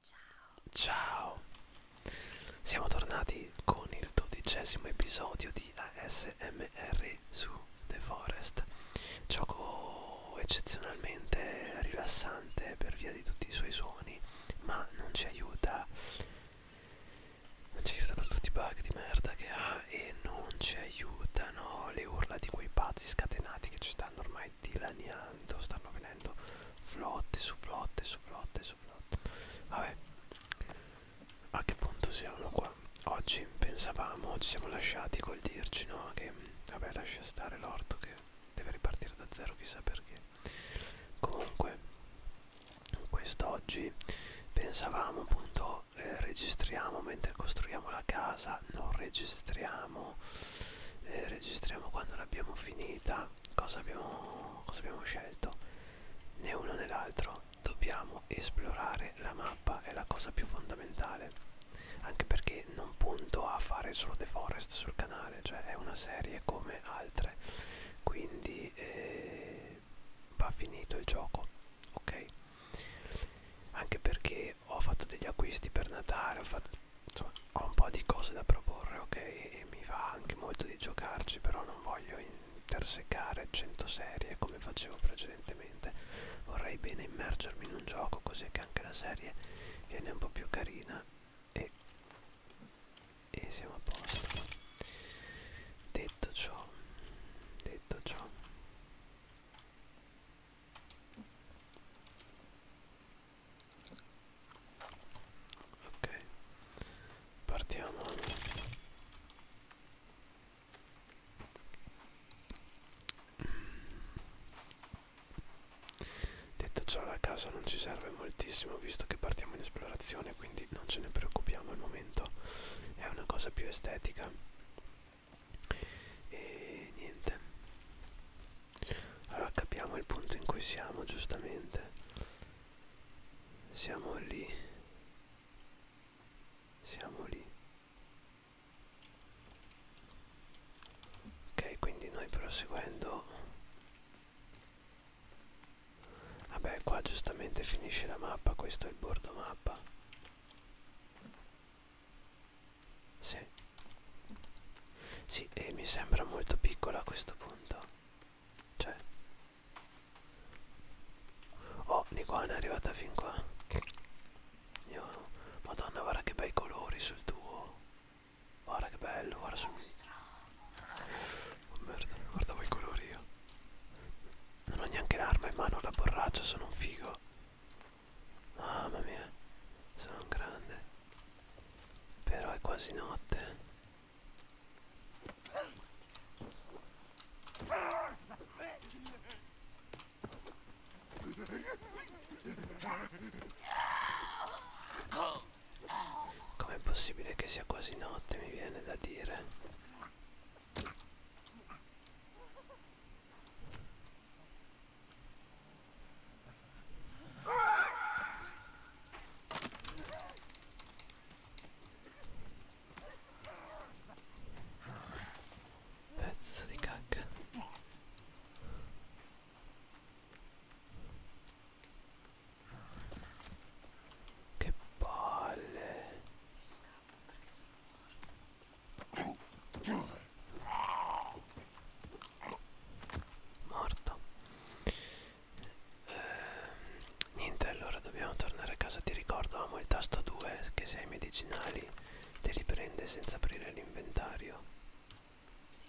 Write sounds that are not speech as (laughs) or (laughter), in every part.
Ciao. Ciao. Siamo tornati con il dodicesimo episodio di ASMR su The Forest. Gioco eccezionalmente rilassante per via di tutti i suoi suoni, ma non ci aiuta. Non ci aiutano tutti i bug di merda che ha e non ci aiutano le urla di quei pazzi scatenati che ci stanno ormai dilaniando stanno venendo flotte su flotte su flotte su flotte vabbè a che punto siamo qua oggi pensavamo ci siamo lasciati col dirci no che vabbè lascia stare l'orto che deve ripartire da zero chissà perché comunque quest'oggi pensavamo appunto eh, registriamo mentre costruiamo la casa non registriamo eh, registriamo quando l'abbiamo finita cosa abbiamo, cosa abbiamo scelto né uno né l'altro dobbiamo esplorare la mappa è la cosa più fondamentale anche perché non punto a fare solo The Forest sul canale cioè è una serie come altre quindi eh, va finito il gioco ok anche perché ho fatto degli acquisti per Natale ho fatto insomma, ho un po' di cose da proporre, ok? E mi va anche molto di giocarci, però non voglio intersecare 100 serie come facevo precedentemente. Vorrei bene immergermi in un gioco così che anche la serie viene un po' più carina e, e siamo a posto. Detto ciò, detto ciò Ok, partiamo. Detto ciò la casa non ci serve moltissimo visto che partiamo in esplorazione quindi non ce ne preoccupiamo al momento è una cosa più estetica e niente allora capiamo il punto in cui siamo giustamente siamo lì siamo lì ok quindi noi proseguendo vabbè qua giustamente finisce la mappa questo è il bordo mappa sì. Sì, e mi sembra molto piccola a questo punto. Cioè. Oh, l'iguana è arrivata fin qua. Io... Madonna, guarda che bei colori sul tuo. Guarda che bello, guarda sul... Oh merda, guardavo i colori io. Non ho neanche l'arma in mano, la borraccia, sono un figo. Mamma mia, sono un grande. Però è quasi notte. Com'è possibile che sia quasi notte, mi viene da dire? Pezzo di cacca. Che palle. Io scappo perché sono morto morto ehm, niente allora dobbiamo tornare a casa ti ricordo amo il tasto 2 che se hai medicinali te li prende senza aprire l'inventario sì,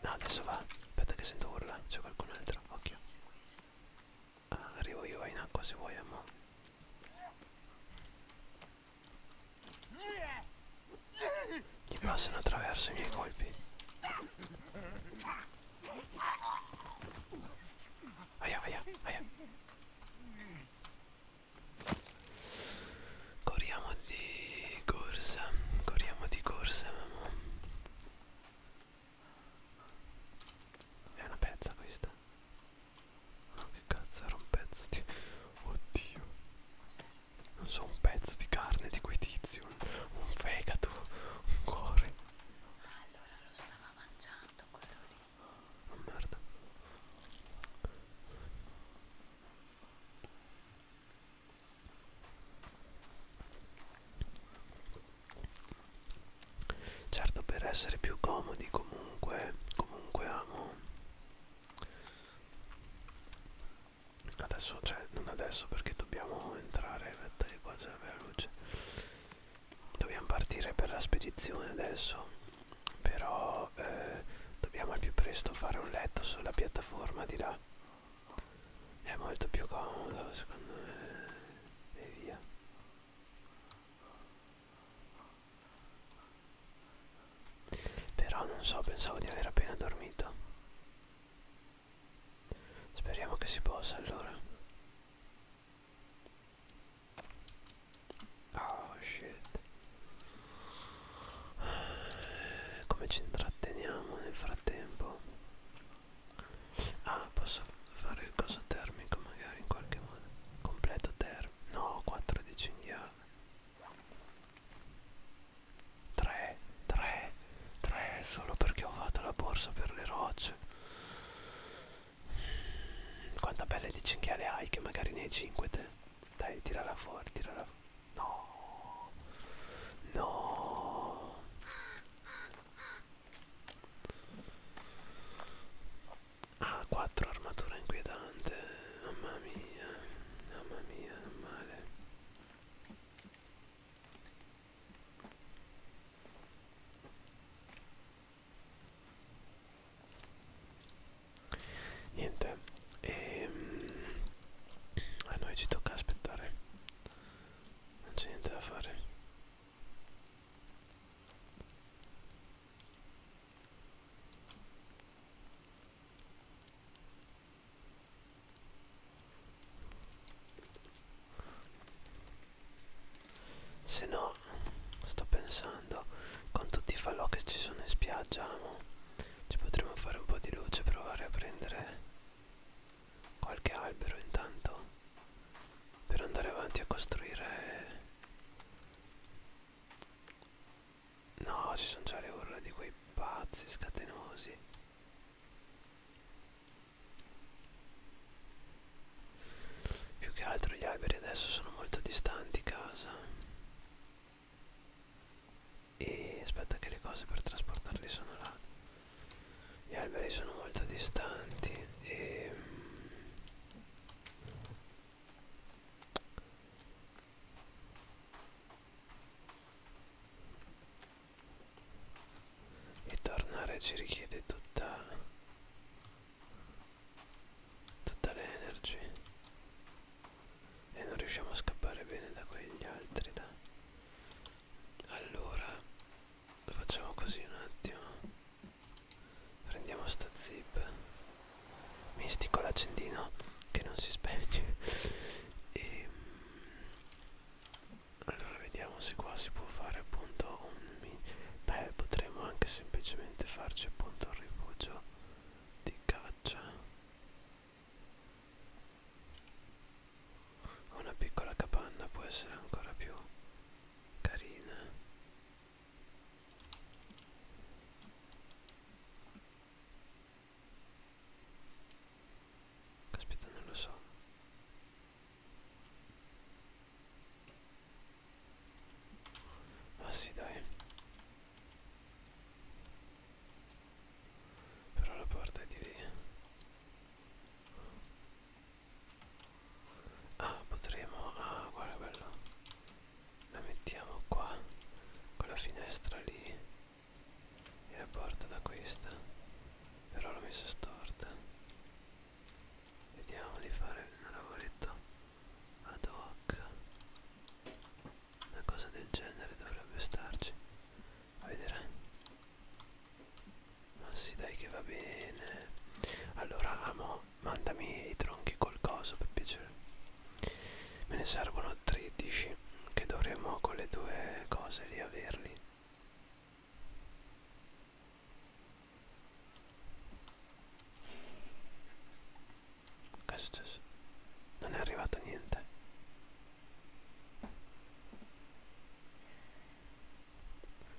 no adesso va aspetta che sento urla c'è qualcun altro occhio sì, ah, arrivo io vai in acqua se vuoi amo gli passano attraverso i miei colpi. Aia, aia, aia. Corriamo di corsa, corriamo di corsa, mamma. È una pezza questa. Ah, che cazzo era un pezzo di... Oddio Non so, un pezzo di carne di quei tizi un, un fegato, un cuore Allora lo stava mangiando quello lì Oh merda certo per essere più comodi comunque comunque amo adesso cioè non adesso perché dobbiamo entrare aspetta che qua c'è la luce dobbiamo partire per la spedizione adesso però eh, dobbiamo al più presto fare un letto sulla piattaforma di là è molto più comodo secondo me e via però non so, pensavo di aver appena dormito. Speriamo che si possa allora. Oh shit. Come ci intratteniamo nel frattempo? Ah, posso fare il coso termico magari in qualche modo. Completo termico no 4 di cinghiale 3 3 3 solo perché ho fatto la borsa per le rocce quanta pelle di cinghiale hai che magari ne hai 5 te dai tirala fuori tirala fuori no no Ah, 4 armatura inquietante. Mamma mia, mamma mia, male. Niente, e ehm, a noi ci tocca aspettare. Non c'è niente da fare. Se no, sto pensando, con tutti i falò che ci sono in spiaggia, amo, ci potremmo fare un po' di luce, provare a prendere qualche albero intanto per andare avanti a costruire No, ci sono già le urla di quei pazzi scatenosi. Più che altro gli alberi adesso sono molto distanti casa. E aspetta che le cose per trasportarli sono là. Gli alberi sono molto distanti e e tornare ci richiede tutta tutta l'energy e non riusciamo a scappare bene da quegli altri là. allora facciamo così un attimo Prendiamo sta zip Mistico l'accendino Che non si spegne E mm, allora vediamo se qua si può fare appunto un beh potremmo anche semplicemente farci appunto un rifugio di caccia una piccola capanna può essere ancora più carina Caspita, non lo so. Ma ah, sì, dai. Però la porta è di lì. Ah, potremo... Ah, guarda che bello. La mettiamo qua, con la finestra lì. E la porta da questa. Però l'ho messa storta. Vediamo di fare un lavoretto ad hoc. Una cosa del genere dovrebbe starci. A vedere. Ma sì dai che va bene. Allora amo, mandami i tronchi col coso per piacere. Me ne servono 13 che dovremmo con le due cose lì averli. Che è successo? Non è arrivato niente.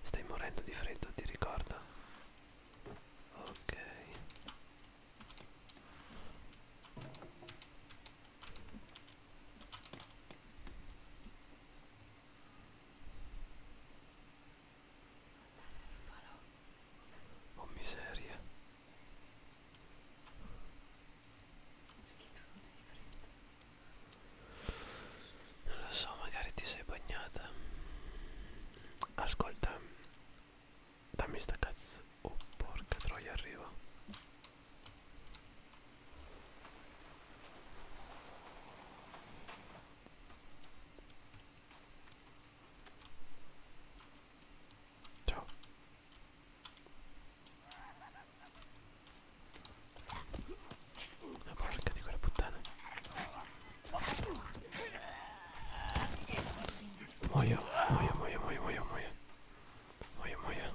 Stai morendo di freddo, ti ricordo? ok Oh miseria. Perché tu non hai freddo? Non lo so, magari ti sei bagnata. Ascolta, dammi sta cazzo. Oh, porca troia, arriva. Ciao. La porca di quella puttana. Muoio, muoio, muoio, muoio, muoio, muoio. Muoio, muoio.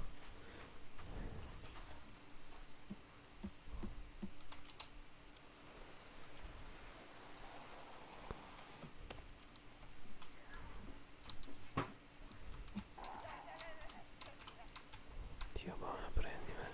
Dio buono, prendimela.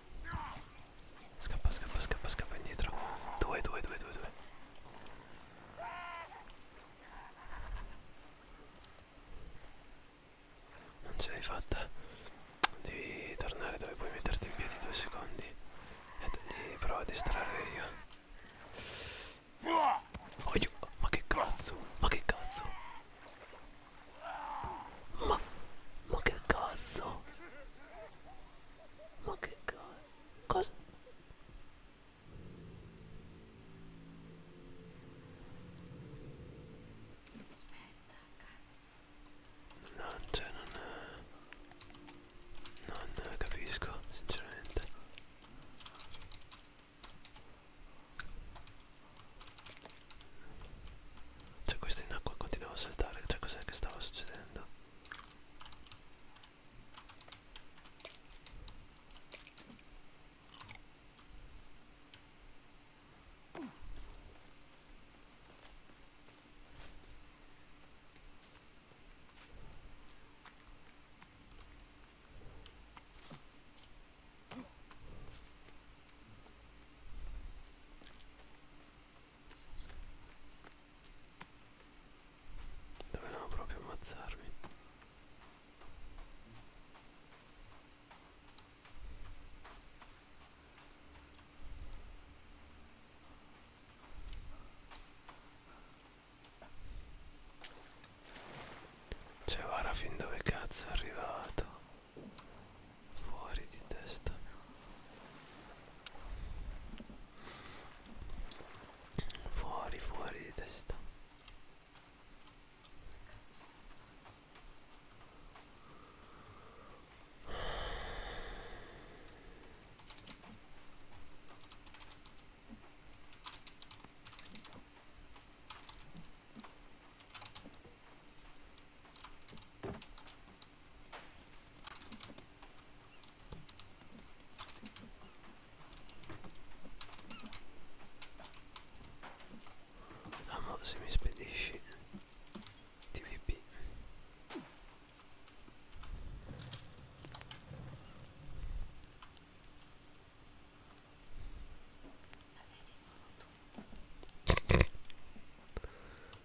Scappa, scappa, scappa, scappa indietro. Due, due, due, due, due. Non ce l'hai fatta. Devi tornare dove puoi metterti in piedi due secondi. E gli provo a distrarre io. Oh, io. Ma che cazzo? Ma che cazzo? Ma, ma che cazzo? Ma che cazzo? Cosa? Aspetta, cazzo. No, cioè non... Non capisco, sinceramente. Cioè questo in acqua continuava a saltare, cioè cos'è che stava succedendo? Dovevano proprio ammazzarmi. Cioè guarda fin dove cazzo è arrivato fuori di testa fuori fuori di testa Amo se mi spedisci TVP Ma sei di nuovo tu?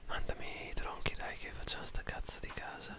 Mandami i tronchi dai che facciamo sta cazzo di casa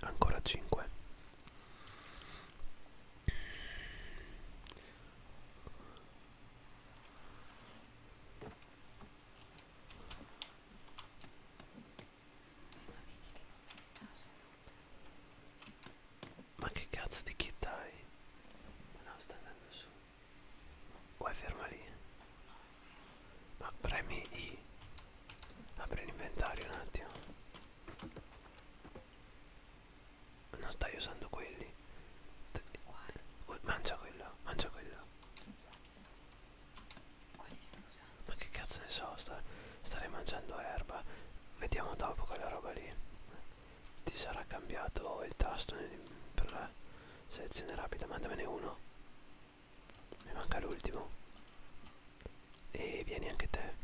ancora 5 ma che cazzo di chi dai? Ma no, sta andando su. O è ferma lì? Ma premi I. Apri l'inventario un attimo. Non stai usando quelli. Oh, mangia quello, mangia quello. Quali stai usando? Ma che cazzo ne so, sta, stare mangiando erba. Vediamo dopo quella roba lì. Ti sarà cambiato il tasto nel, per la selezione rapida. Mandamene uno. Mi manca l'ultimo. E vieni anche te.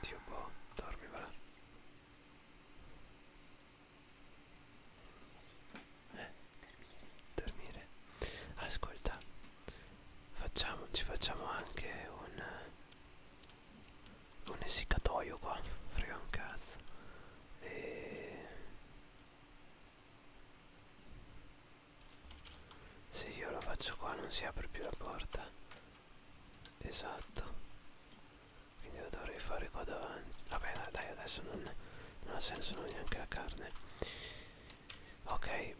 Dio boh, dormi va là. Eh? Dormire. Ascolta, facciamo, ci facciamo anche un un essiccatoio qua, frega un cazzo. E... Se io lo faccio qua non si apre più la porta. Esatto quindi lo dovrei fare qua davanti vabbè dai, dai adesso non, non ha senso non neanche la carne ok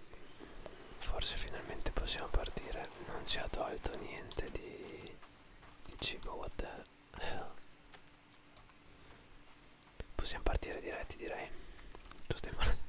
forse finalmente possiamo partire non ci ha tolto niente di, di cibo what the hell possiamo partire diretti direi tu stai male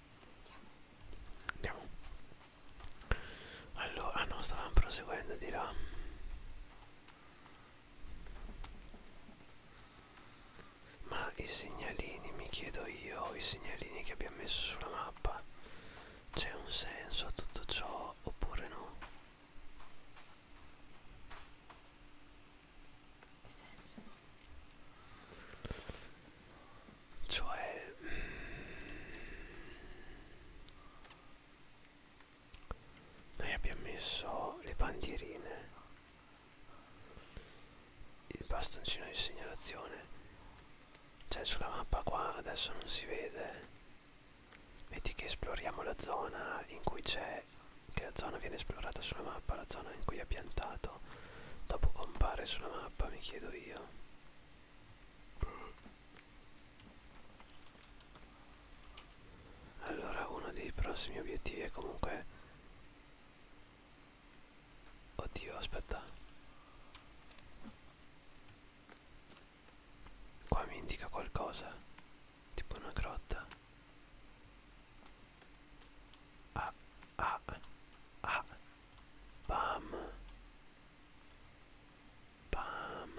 Andiamo. Allora, no, stavamo proseguendo di là. Ma i segnalini, mi chiedo io, i segnalini che abbiamo messo sulla mappa, c'è un senso a tutto ciò oppure no? Che senso? Cioè... Noi abbiamo messo le bandierine, il bastoncino di segnalazione. Cioè sulla mappa qua adesso non si vede. Metti che esploriamo la zona in cui c'è, che la zona viene esplorata sulla mappa, la zona in cui è piantato. Dopo compare sulla mappa, mi chiedo io via allora uno dei prossimi obiettivi è comunque oddio aspetta qua mi indica qualcosa tipo una grotta ah ah, ah, bam, bam,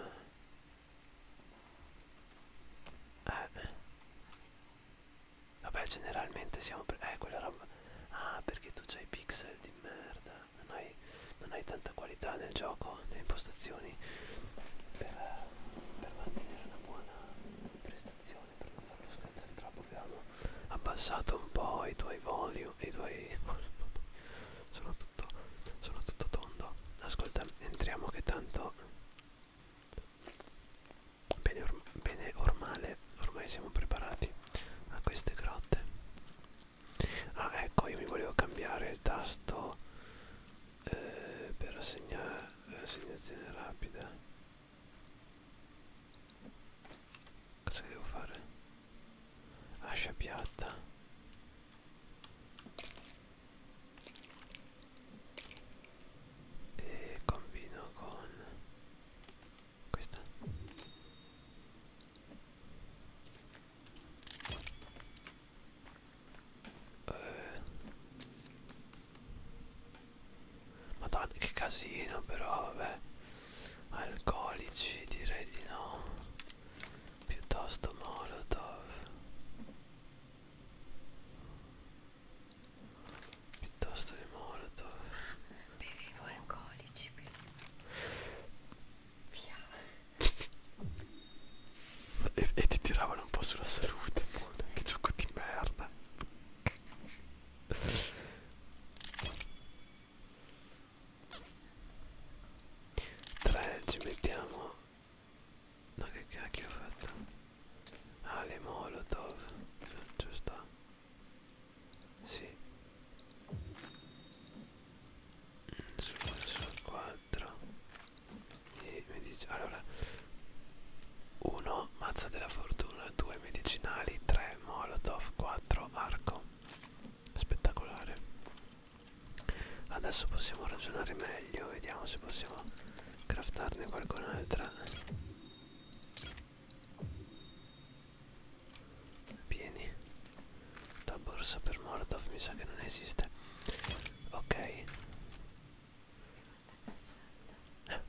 eh, vabbè generalmente siamo, eh quella roba, ah perché tu c'hai pixel di merda, non hai, non hai tanta qualità nel gioco, nelle impostazioni, per, per mantenere una buona prestazione, per non farlo scattare troppo abbiamo abbassato un po' i tuoi volume i tuoi (laughs) sono tutto sono tutto tondo ascolta entriamo che tanto bene, or bene ormale ormai siamo preparati a queste grotte ah ecco io mi volevo cambiare il tasto eh, per assegnare l'assegnazione rapida Cosa devo fare? Ascia piatta. E combino con questa. Eh. Madonna che casino però vabbè Alcolici direi di no Piuttosto molotov Piuttosto di molotov Bevevo alcolici Via (laughs) e, e ti tiravano un po' sulla salute, amore. che gioco di merda. 3 ci mettiamo no che cacchio ho fatto ah le molotov giusto sì su, su 4 e mi dice allora 1 mazza della fortuna 2 medicinali 3 molotov 4 arco spettacolare adesso possiamo ragionare meglio vediamo se possiamo craftarne qualcun'altra pieni la borsa per molotov mi sa che non esiste ok eh.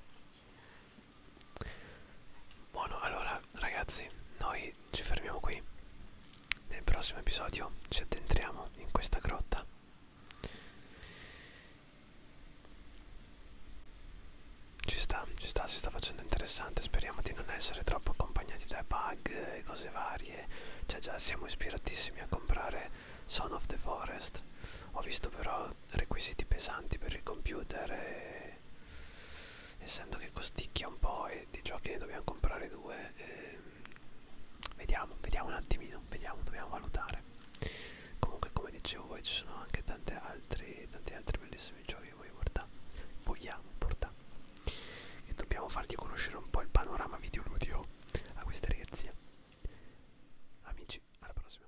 Buono, allora ragazzi, noi ci fermiamo qui. Nel prossimo episodio ci addentriamo in questa grotta. Ci sta, ci sta, si sta facendo interessante. Speriamo di non essere troppo accompagnati da bug e cose varie. Cioè già siamo ispiratissimi a comprare Son of the Forest. Ho visto però requisiti pesanti per il computer e e essendo che costicchia un po' e di giochi ne dobbiamo comprare due eh, vediamo vediamo un attimino vediamo dobbiamo valutare comunque come dicevo voi ci sono anche tanti altri tanti altri bellissimi giochi che voi portare vogliamo portare e dobbiamo fargli conoscere un po' il panorama videoludico a questa ragazia amici alla prossima